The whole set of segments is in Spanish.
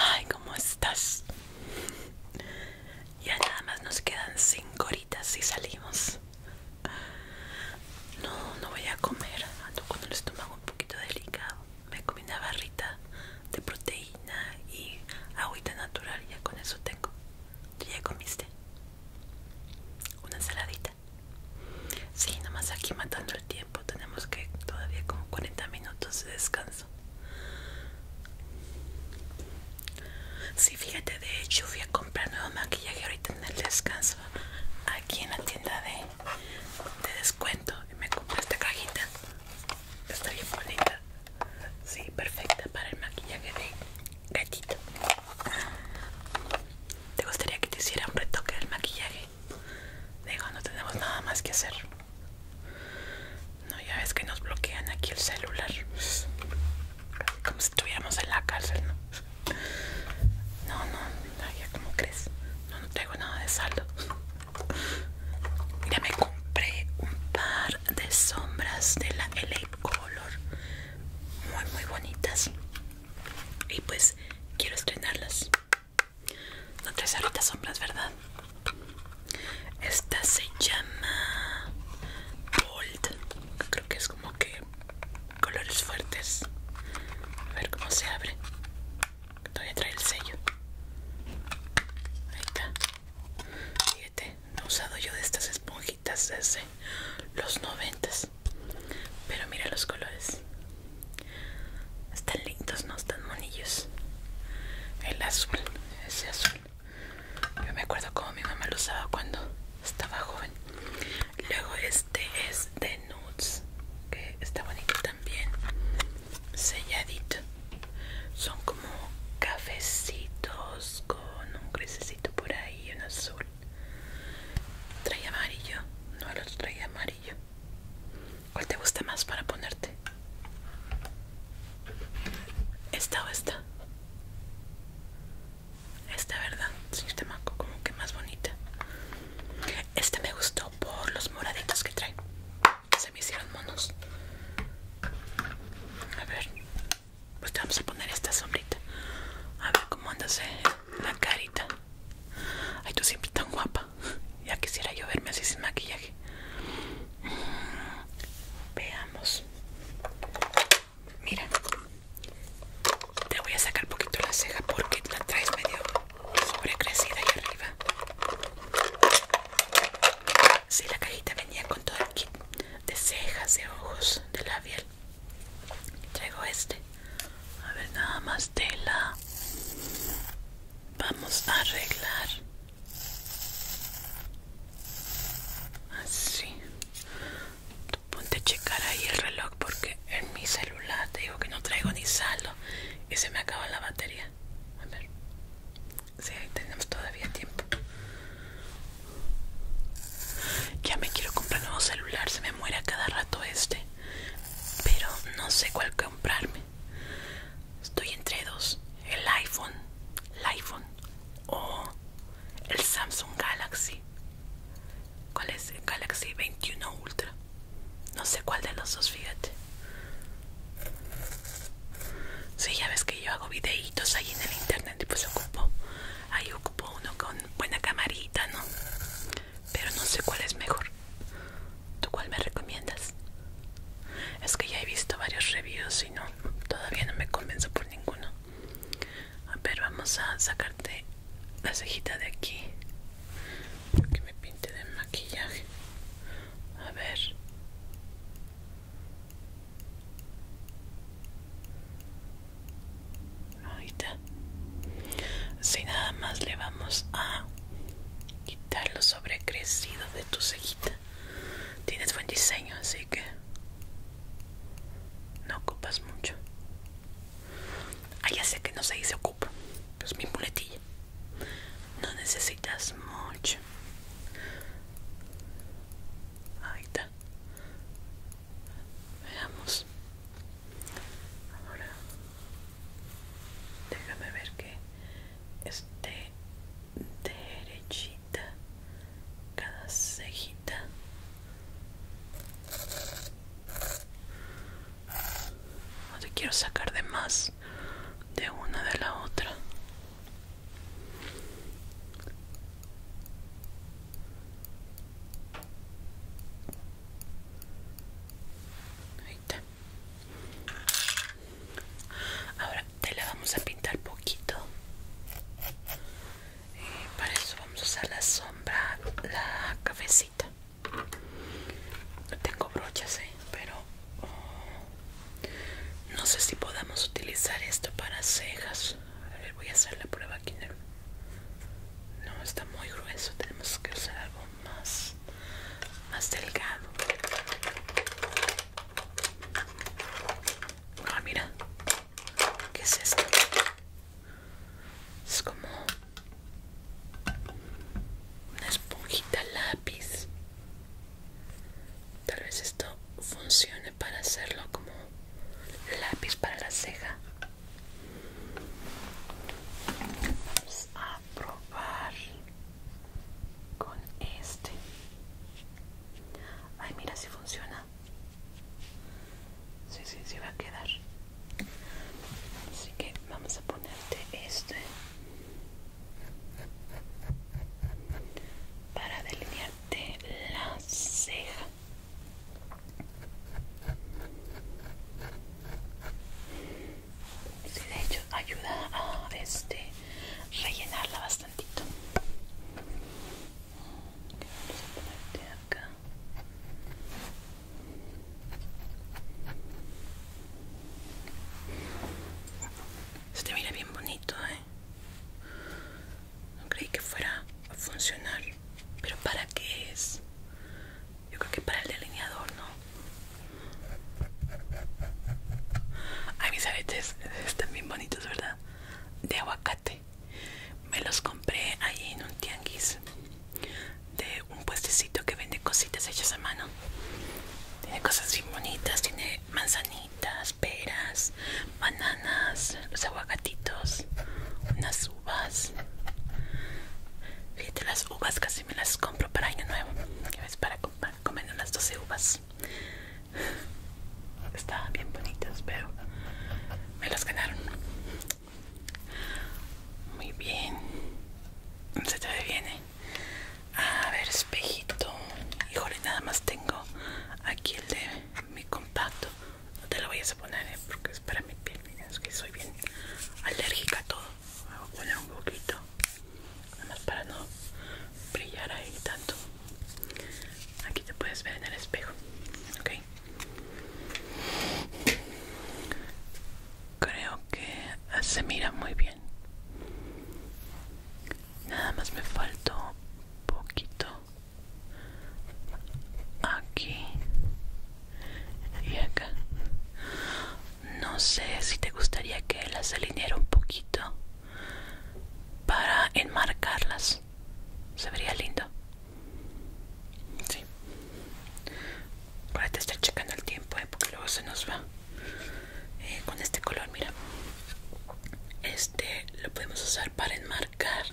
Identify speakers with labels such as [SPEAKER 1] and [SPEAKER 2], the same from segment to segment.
[SPEAKER 1] Ay, ¿cómo estás? Ya nada más nos quedan cinco horitas y salimos. No, no voy a comer. Ando con el estómago un poquito delicado. Me comí una barrita de proteína y agüita natural. Ya con eso tengo. ya comiste? Una ensaladita. Sí, nomás aquí matando el tiempo. Tenemos que todavía como 40 minutos de descanso si fíjate, de hecho fui a comprar nuevo maquillaje ahorita en el descanso aquí en la tienda de, descuento y me compré esta cajita. Está bien bonita. Sí, perfecta para el maquillaje de gatito. ¿Te gustaría que te hiciera un retoque del maquillaje? Digo, no tenemos nada más que hacer. No, ya ves que nos bloquean aquí el celular como si estuviéramos en la cárcel, ¿no? No, no, ya como crees. No, no traigo nada de saldo. Ya me compré un par de sombras de la LA Color. Muy, muy bonitas. Y pues quiero estrenarlas. No traes ahorita sombras, ¿verdad? Esta se llama Bold. Creo que es como que colores fuertes. A ver cómo se abre. a traer el sello. Ahí está. Fíjate, no he usado yo de estas esponjitas desde los noventas. Pero mira los colores. Están lindos, ¿no? Están monillos. El azul, ese azul. Yo me acuerdo como mi mamá lo usaba cuando estaba joven luego este es de nudes que está bonito también selladito son como cafecitos con un crececito por ahí en un azul trae amarillo no el otro trae amarillo ¿Cuál te gusta más para ponerte? ¿Esta o esta? Esta verdad, este Tamaco, como que más bonita. Este me gustó por los moraditos que trae. Se me hicieron monos. A ver, pues te vamos a poner esta sombrita. A ver cómo andas eh, la carita. Ay, tú siempre tan guapa. Ya quisiera yo verme así sin maquillaje. Mm, veamos. Mira, te voy a sacar un poquito la ceja porque la traes medio sobrecrecida ahí arriba. Si la cajita venía con todo el kit de cejas, de ojos, de labial. Traigo este. A ver, nada más tela. Vamos a arreglar. Así ponte a checar ahí el reloj porque en mi celular te digo que no traigo ni saldo y se me acaba la batería. A ver. ahí tenemos todavía tiempo. Ya me quiero comprar un nuevo celular, se me muere a cada rato este. Pero no sé cuál comprarme. Estoy entre dos. El iPhone, el iPhone o el Samsung Galaxy. ¿Cuál es Galaxy 21 Ultra? No sé cuál de los dos, fíjate. Sí, ya ves que yo hago videitos ahí en el internet y pues ocupo. Ahí ocupo uno con buena camarita, ¿no? Pero no sé cuál es mejor. ¿Tú cuál me recomiendas? Es que ya he visto varios reviews y no, todavía no me convenzo por ninguno. A ver, vamos a sacarte la cejita de aquí. que me pinte de maquillaje. A ver. está Así nada más le vamos a quitar lo sobrecrecido de tu cejita. Tienes buen diseño, así que no ocupas mucho. Ah, ya sé que no se ocupa. Es mi muletilla. No necesitas mucho. Ahí está. Veamos. Ahora déjame ver que esté derechita cada cejita no te quiero sacar de más de una de la otra. Ahora te la vamos a pintar poquito para eso vamos a usar la sombra la cafecita no tengo brochas ¿eh? pero oh, no sé si podamos utilizar esto para cejas a ver voy a hacer la prueba aquí en el no está muy grueso tenemos que usar algo más más delgado ah mira ¿Qué es esto? Es como una esponjita lápiz. Tal vez esto funcione para hacerlo como lápiz para la ceja. Vamos a probar con este. Ay, mira si funciona. Sí, sí, se va a quedar. Así que vamos a ponerte este para delinearte la ceja. Sí, de hecho ayuda a este rellenarla bastantito. Vamos a mira bien bonito, ¿eh? No creí que fuera a funcionar. ¿Pero para qué es? Yo creo que para el delineador, ¿no? Ay, mis aretes están bien bonitos, ¿verdad? De aguacate. Me los compré ahí en un tianguis de un puestecito que vende cositas hechas a mano. Tiene cosas bien bonitas, tiene manzanitas, peras, bananas, los aguacatitos, unas uvas. Fíjate, las uvas casi me las compro para año nuevo. que Para comer unas 12 uvas. Estaban bien bonitas, pero me las ganaron. Muy bien. Se te viene ¿eh? A ver, espejito. Híjole, nada más tengo aquí el de mi compacto. No te lo voy a poner, ¿eh? porque es para mi piel. es que soy bien alérgica a todo. Voy a poner un poquito. Nada más para no brillar ahí tanto. Aquí te puedes ver en el espejo, ¿ok? Creo que se mira muy bien. Nada más me faltó un poquito aquí y acá. No sé si te gustaría que las alineara un poquito para enmarcarlas se vería lindo. Sí. Para te estar checando el tiempo, eh, porque luego se nos va. Eh, con este color, mira. Este lo podemos usar para enmarcar.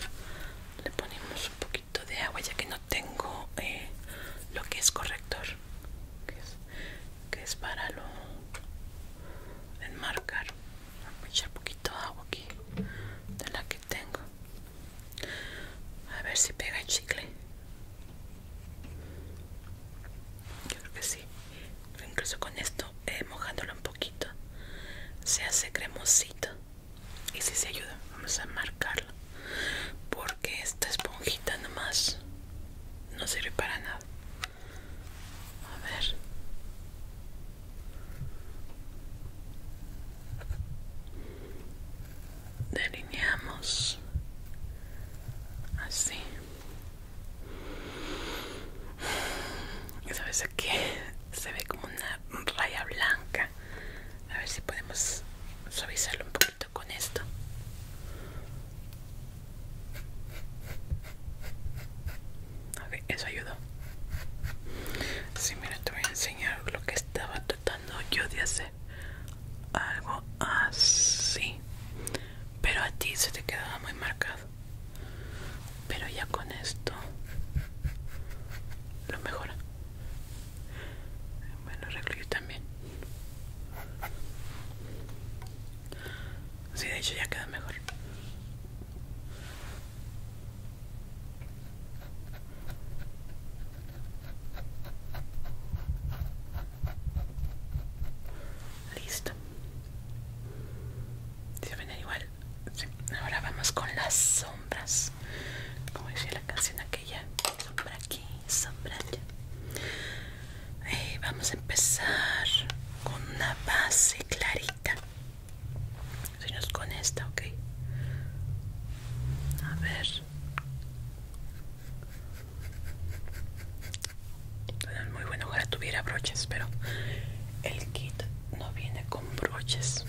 [SPEAKER 1] Le ponemos un poquito de agua ya que no tengo eh, lo que es corrector. que es para lo enmarcar. Voy a echar poquito de agua aquí de la que tengo. A ver si pega el chicle. Yo creo que sí. incluso con esto, eh, mojándolo un poquito, se hace cremosito. Y si se ayuda, vamos a marcarlo. Porque esta esponjita nomás no sirve para nada. A ver delineamos así sabes aquí se ve como una raya blanca a ver si podemos suavizarlo un poquito con esto Ok, eso ayudó sí mira te voy a enseñar lo que estaba tratando yo de hacer algo así pero a ti se te quedaba muy marcado pero ya con esto lo mejora Bueno, lo también Sí, de hecho ya queda mejor Listo. ¿Se igual? Ahora vamos con las sombras. Como decía la canción aquella. Sombra aquí, sombra allá. Eh, vamos a empezar con una base clarita es con esta, ok. A ver. muy bueno, que tuviera broches, pero el kit no viene con broches.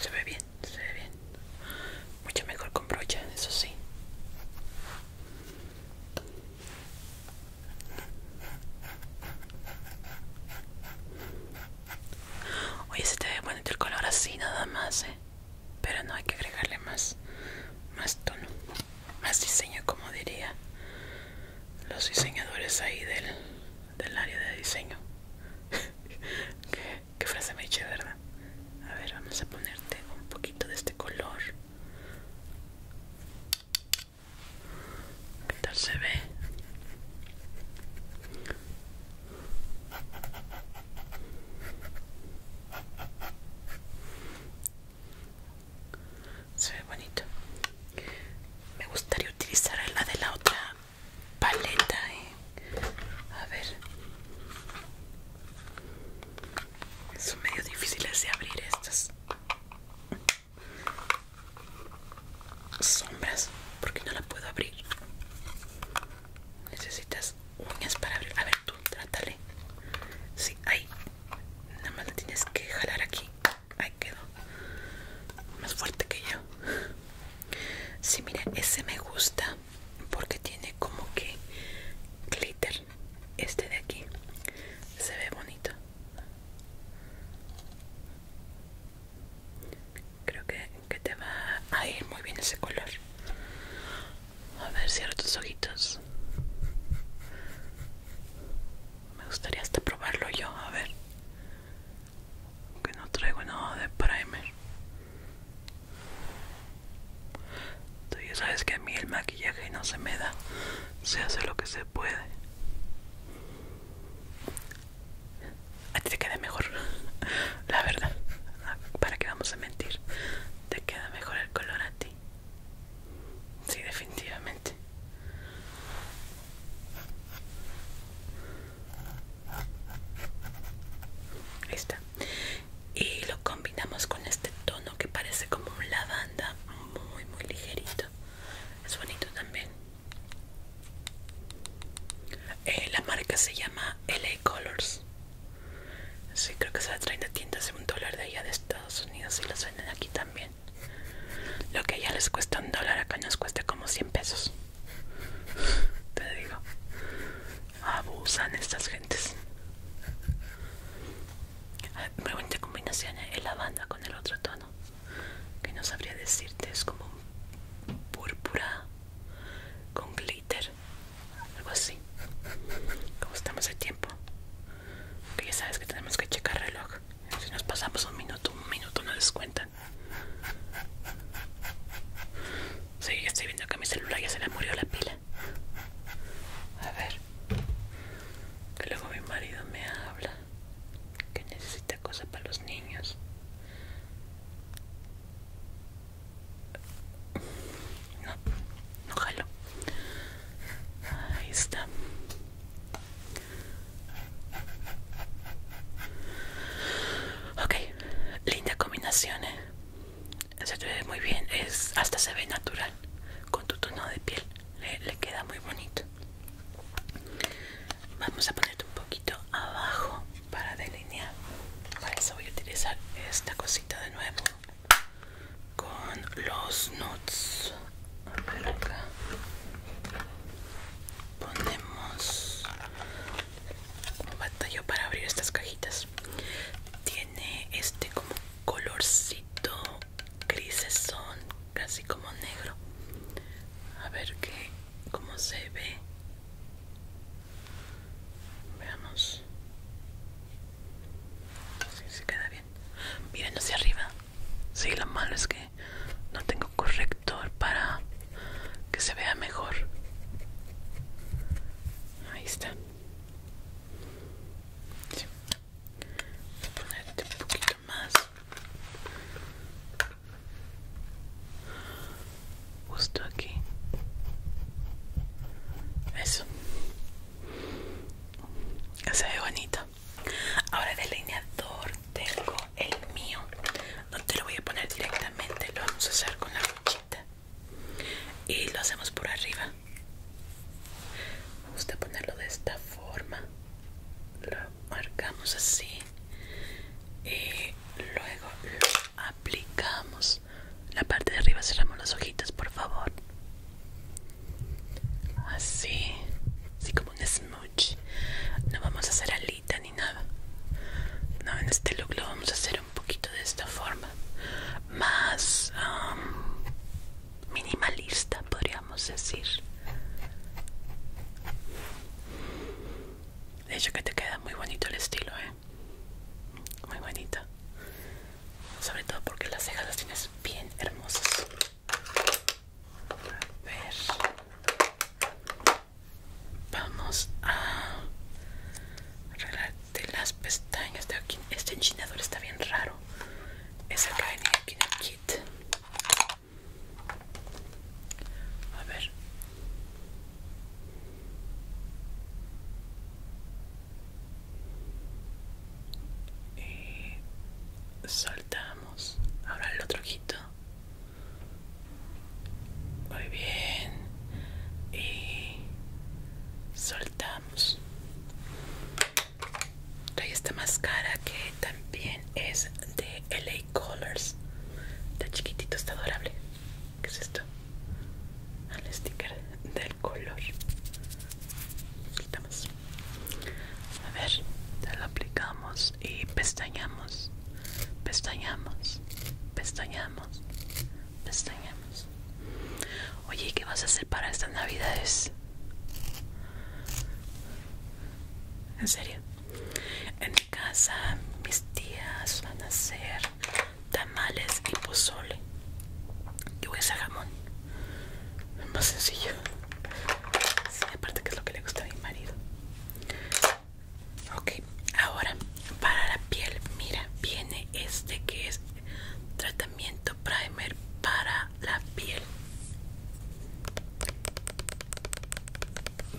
[SPEAKER 1] Se ve bien, se ve bien. Mucho mejor con brocha, eso sí. Oye, se te ve bonito el color así nada más, ¿eh? Pero no hay que agregarle más, más tono, más diseño, como diría los diseñadores ahí del, del área de diseño. Qué frase me eche ¿verdad? A ver, vamos a ponerte un poquito de este color. ¿Qué tal se ve? Se ve bonito. Me gustaría utilizar la de la otra paleta, eh. A ver. Son medio difíciles de abrir estas sombras porque no la puedo abrir. Necesitas uñas para abrir. A ver, tú, trátale. Sí, ahí. Nada más la tienes que jalar aquí. Ahí quedó. Más fuerte que yo si mira, ese me gusta porque tiene como que glitter. Este de aquí se ve bonito. Creo que, te va a ir muy bien ese color. A ver, cierra tus ojitos. Me gustaría hasta probarlo yo, a ver que no traigo nada de primer tú ya sabes que a mí el maquillaje no se me da se hace lo que se puede a ti te queda mejor la verdad para que vamos a mentir te queda mejor el color a ti sí definitivamente y lo combinamos con este tono que parece como un lavanda, muy, muy ligerito. Es bonito también. Eh, la marca se llama LA Colors. Sí, creo que se a de tiendas de un dólar de allá de Estados Unidos y las venden aquí también. Lo que ya les cuesta un dólar acá nos cuesta como 100 pesos. Te digo, abusan estas gentes. Muy combinación en ¿eh? el lavanda con el otro tono. Que no sabría decirte, es como púrpura con glitter, algo así. Como estamos el tiempo, que ya sabes que tenemos que checar reloj. Si nos pasamos un minuto, un minuto no cuentan Sí, estoy viendo que a mi celular ya se le murió la pila. A ver. Que luego mi marido me habla. Que necesita cosas para los niños. No, no jalo. Ahí está. Ok, linda combinación, ¿eh? Se ve muy bien, es, hasta se ve natural con tu tono de piel, le, queda muy bonito. Vamos a ponerte un poquito abajo para delinear. Para eso voy a utilizar esta cosita de nuevo con los nudes Ponemos batalló para abrir estas cajitas tiene este como colorcito grisesón casi como negro a ver que, cómo se ve veamos si se queda bien miren hacia arriba si lo malo es que no tengo corrector para que se vea mejor. Ahí está. Voy a ponerte un poquito más. Justo aquí. Eso. Se ve bonito. Ahora delineador tengo el mío no te lo voy a poner directamente lo vamos a hacer con la brochita y lo hacemos por arriba me gusta ponerlo de esta forma lo marcamos así y luego lo aplicamos la parte de arriba cerramos los ojitos por favor así así como un smooch no vamos a hacer al ni nada no, en este look lo vamos a hacer un poquito de esta forma más um, minimalista podríamos decir de hecho que te queda muy bonito el estilo ¿eh? muy bonito sobre todo porque las cejas las tienes bien hermosas ver vamos a arreglarte las pestañas de aquí. Este enchinador está bien raro. Es el que en el kit. A ver. Y eh, soltamos ahora el otro ojito muy bien. Y soltamos. Trae esta máscara que también es de LA Colors. Está chiquitito, está adorable. ¿Qué es esto? Ah, el sticker del color. quitamos A ver, ya lo aplicamos y pestañamos. Pestañamos, pestañamos, pestañamos. Oye, ¿qué vas a hacer para estas navidades? En serio. En mi casa mis tías van a hacer tamales y pozole. Yo voy a hacer jamón. Es más sencillo. Sí, aparte que es lo que le gusta a mi marido ok ahora para la piel mira viene este que es tratamiento primer para la piel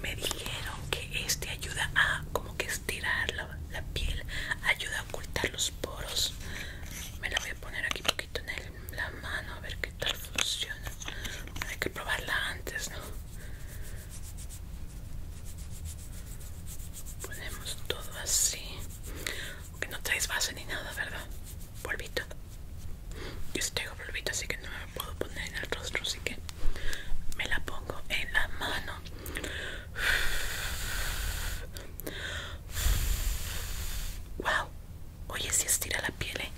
[SPEAKER 1] me dijeron que este ayuda a como que estirar la, piel ayuda a ocultar los poros me la voy a poner aquí un poquito en la mano a ver qué tal funciona hay que probarla antes no Ponemos todo así. Aunque no traes base ni nada, ¿verdad? Polvito. Yo sí polvito, así que no me puedo poner en el rostro, así que me la pongo en la mano. Wow. Oye, si estira la piel ¿eh?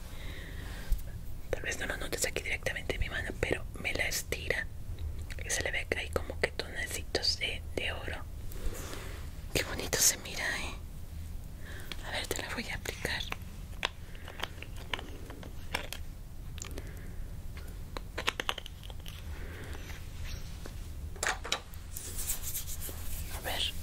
[SPEAKER 1] tal vez no lo notes aquí directamente en mi mano pero me la estira y se le ve ahí como que tonecitos de, de oro qué bonito se mira ¿eh? a ver te la voy a aplicar a ver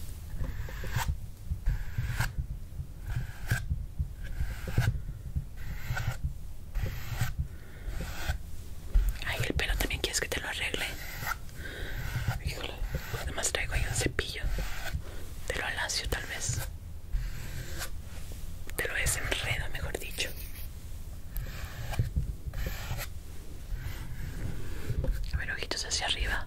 [SPEAKER 1] Ay, el pelo también quieres que te lo arregle. Híjole, además traigo ahí un cepillo. Te lo alacio tal vez. Te lo desenredo, mejor dicho. A ver, ojitos hacia arriba.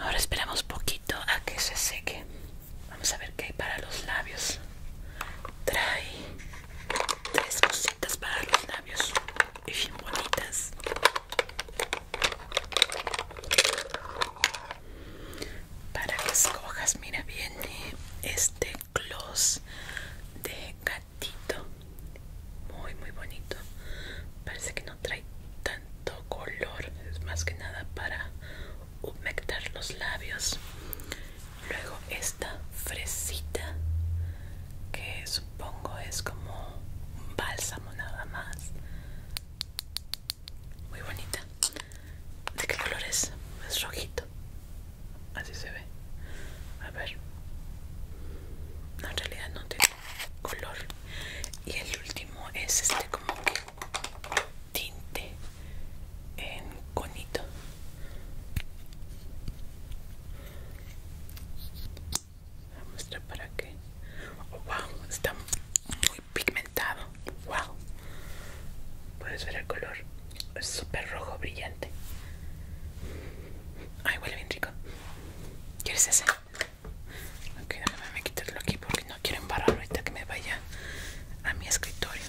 [SPEAKER 1] Ahora esperamos poquito a que se seque. Vamos a ver qué hay para los labios. Trae tres cositas para los labios y bien bonitas. Para que escojas, mira, viene este gloss de gatito. Muy, muy bonito. Parece que no trae tanto color es más que nada para humectar los labios luego esta fresita que supongo es como un bálsamo nada más muy bonita de qué color es es rojito así se ve a ver no, en realidad no tiene color y el último es este como que tinte en conito voy a mostrar para que wow está muy pigmentado wow puedes ver el color es súper rojo brillante ay huele bien rico quieres ese Ok, déjame quitarlo aquí porque no quiero embarrarlo ahorita que me vaya a mi escritorio.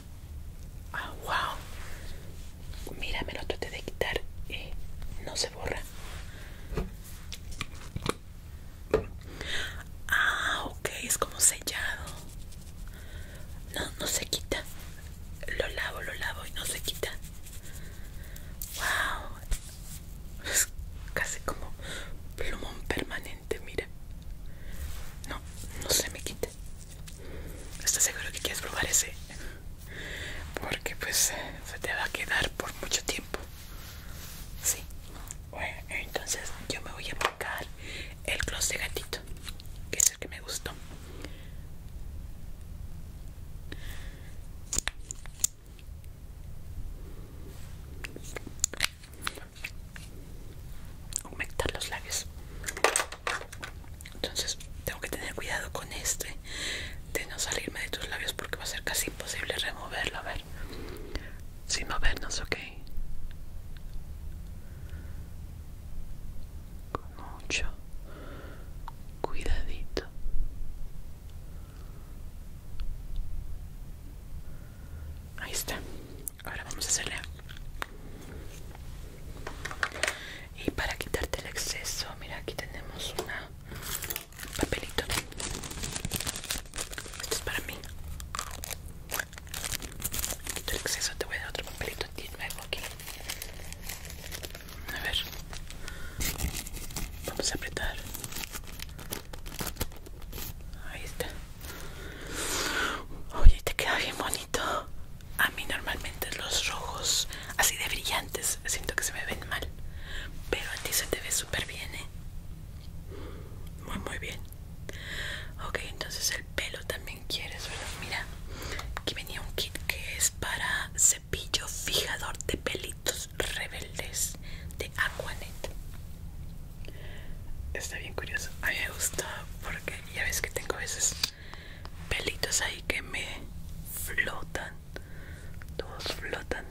[SPEAKER 1] Ah, wow. Mira, me lo traté de quitar y no se borra. Ah, ok, es como sellado. No, no se quita. Lo lavo, lo lavo y no se quita. Wow. Es casi como plumón permanente, mira. No, no se me quite. ¿Estás seguro que quieres probar ese? Porque pues eh, se te va a quedar por mucho tiempo. Sí. Bueno, entonces yo me voy a aplicar el gloss de gatito, que es el que me gustó aumentar los labios entonces tengo que tener cuidado con este de no salirme de tus labios porque va a ser casi imposible removerlo a ver sin movernos ok con mucho cuidadito Ahí está. Ahora vamos a hacerle. Y para quitarte el exceso, mira, aquí tenemos una un papelito. Esto es para mí. Quito el exceso, te voy a dar otro papelito nuevo aquí. A ver. Vamos a apretar. Ahí está. Oye, te queda bien bonito. A mí normalmente los rojos así de brillantes siento que se me ven mal. Pero a ti se te ve súper bien, ¿eh? Muy, muy bien. Ok, entonces el pelo también quieres, ¿verdad? Mira, aquí venía un kit que es para Pillo fijador de pelitos rebeldes de Aquanet. Está bien curioso. A mí me gusta porque ya ves que tengo a veces pelitos ahí que me flotan. Todos flotan.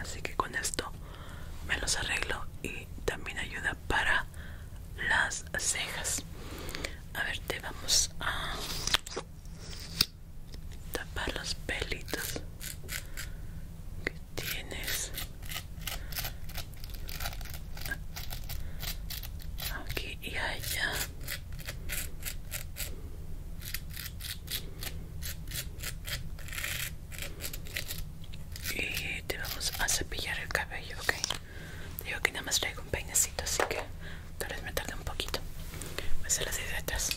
[SPEAKER 1] Así que con esto me los arreglo y también ayuda para las cejas. A ver, te vamos a tapar los pelitos que tienes aquí y allá y te vamos a cepillar el cabello ok digo que nada más traigo un peinecito así que tal vez me tarde un poquito voy a hacer las ideas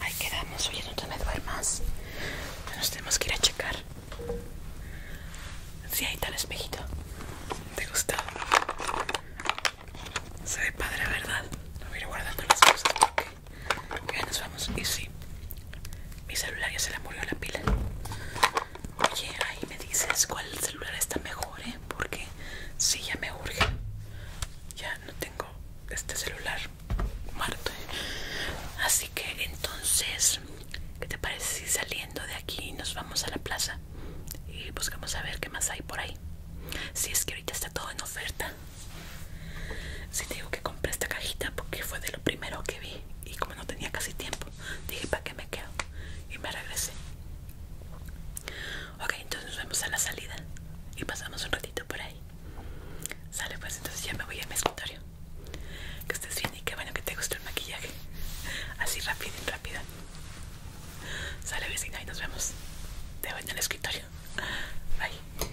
[SPEAKER 1] Ahí quedamos, oye, no te me más. Nos tenemos que ir a checar. si ahí está el espejito. ¿Te gustó? Se ve padre, ¿verdad? No voy a ir guardando las cosas ya nos vamos. Y sí, mi celular ya se le murió la pila. Oye, ahí me dices cuál celular está mejor, ¿eh? Porque si ya me urge. Ya no tengo este celular muerto. Así que entonces, ¿qué te parece si saliendo de aquí nos vamos a la plaza? Y buscamos a ver qué más hay por ahí. Si es que ahorita está todo en oferta. Si sí, te digo que compré esta cajita porque fue de lo primero que vi. Y como no tenía casi tiempo, dije, ¿para qué me quedo? y me regresé. Ok, entonces nos vemos a la salida y pasamos un ratito por ahí. Sale pues, entonces ya me voy a mi escritorio. Que estés bien y qué bueno que te gustó el maquillaje. Así rápido y rápida. Sale vecina y nos vemos. Te veo en el escritorio. Bye.